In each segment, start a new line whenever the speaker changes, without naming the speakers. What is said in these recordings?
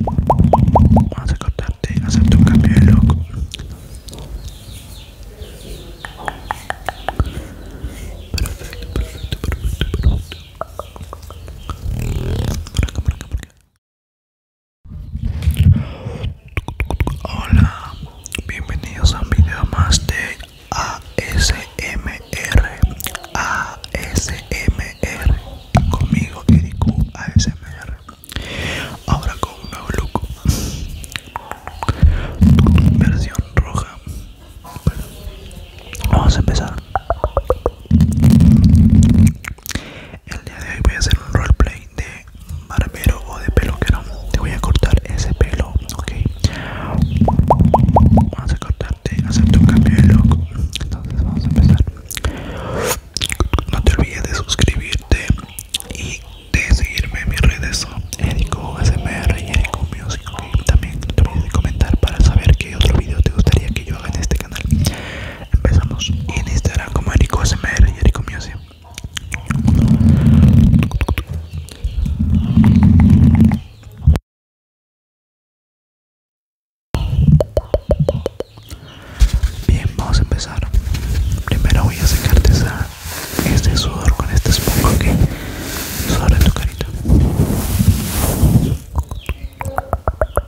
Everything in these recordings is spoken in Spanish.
Vamos a contarte, hacerte un cambio de look. Perfecto, perfecto, perfecto, perfecto. Por acá, por acá, por acá. Hola, bienvenidos a un video más de ASMR ASMR conmigo Ericu ASMR ahora con un nuevo look versión roja vamos a empezar el día de
hoy voy a hacer un roleplay de barbero o de peluquero. Te voy a cortar ese pelo, ok. Vamos a cortarte, hacerte un cambio de look. Entonces vamos a empezar. No te olvides de suscribirte y de seguirme en mis redes Erico y Erico Music. También no te olvides de comentar para saber
qué otro video te gustaría que yo haga en este canal. Empezamos en Instagram este como Erico SMR y Erico Music.
Bien, vamos a empezar. Primero voy a sacarte este sudor con este esponja que okay? tu carita.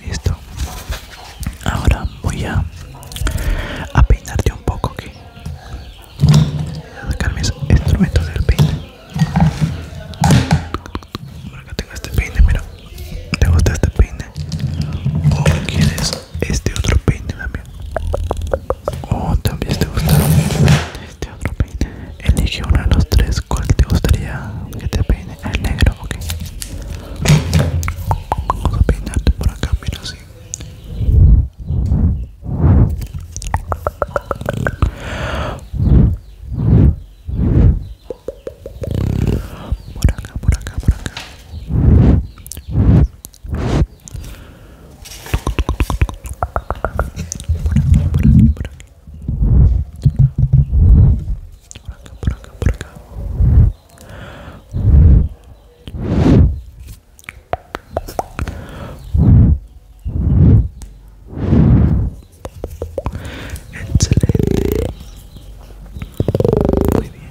Listo. Ahora voy a, peinarte un poco aquí. Sacar mis instrumentos del peine. Por acá tengo este peine, mira. ¿Te gusta este peine? ¿O quieres este otro peine también? ¿O también te gusta? este otro peine. Elige uno de los tres. ¿Cuál te gustaría que te peine? El negro, ok. Vamos a peinarte por acá, mira así. Por acá, por acá, por acá. Por aquí, por aquí, por aquí. Por acá, por Excelente. Muy bien.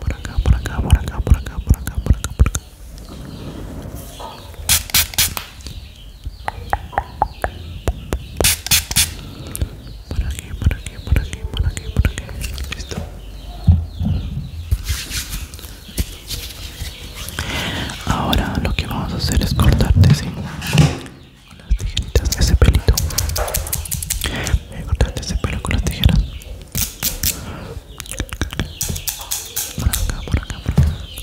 Por acá, por acá, por acá, por acá, por acá, por acá, por acá. Por aquí, por aquí, por aquí, por por Listo. Ahora lo que vamos a hacer es cortarte, acá, con las tijeritas ese pelito voy a ese pelo con las tijeras
por acá por acá por acá por por por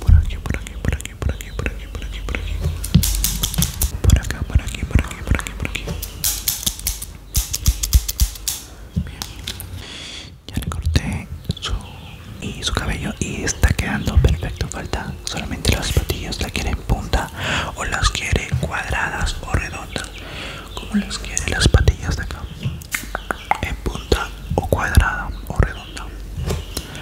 Por aquí, por aquí, por aquí, por aquí, por aquí, por aquí, por aquí. Por acá, por aquí, por aquí, por aquí, por aquí. Ya le corté su, y su cabello y está quedando perfecto. Falta solamente las patillas. La en punta o las quiere cuadradas o redondas. Como las quiere las patillas de acá. En punta o cuadrada o redonda.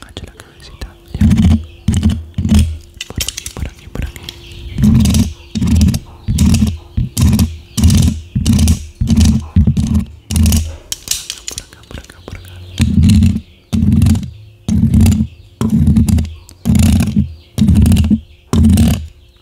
Agacha la cabecita. Ya. Por aquí, por aquí, por aquí. Por acá, por acá, por acá, por acá. Por acá,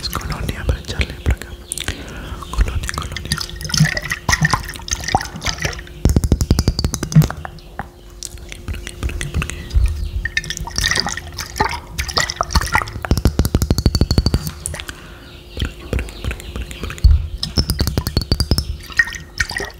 Es colonia para echarle por acá. Colonia, colonia. Aquí, por aquí, por aquí, por aquí. Por aquí, por aquí, por aquí, por aquí, por aquí.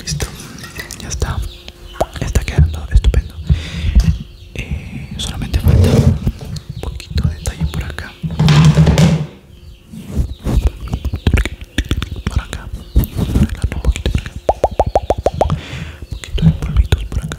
Listo, ya está. Está quedando estupendo. Eh, solamente falta un poquito de detalle por acá. Por acá. Un poquito por acá. Un poquito de polvitos por acá.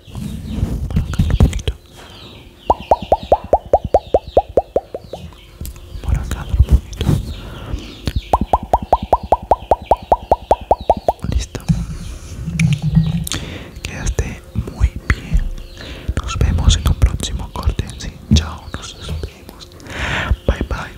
Por acá un poquito. Por acá lo poquito. Listo. Quedaste muy bien. Nos vemos en un próximo corte. Sí, chao. Nos vemos Bye bye.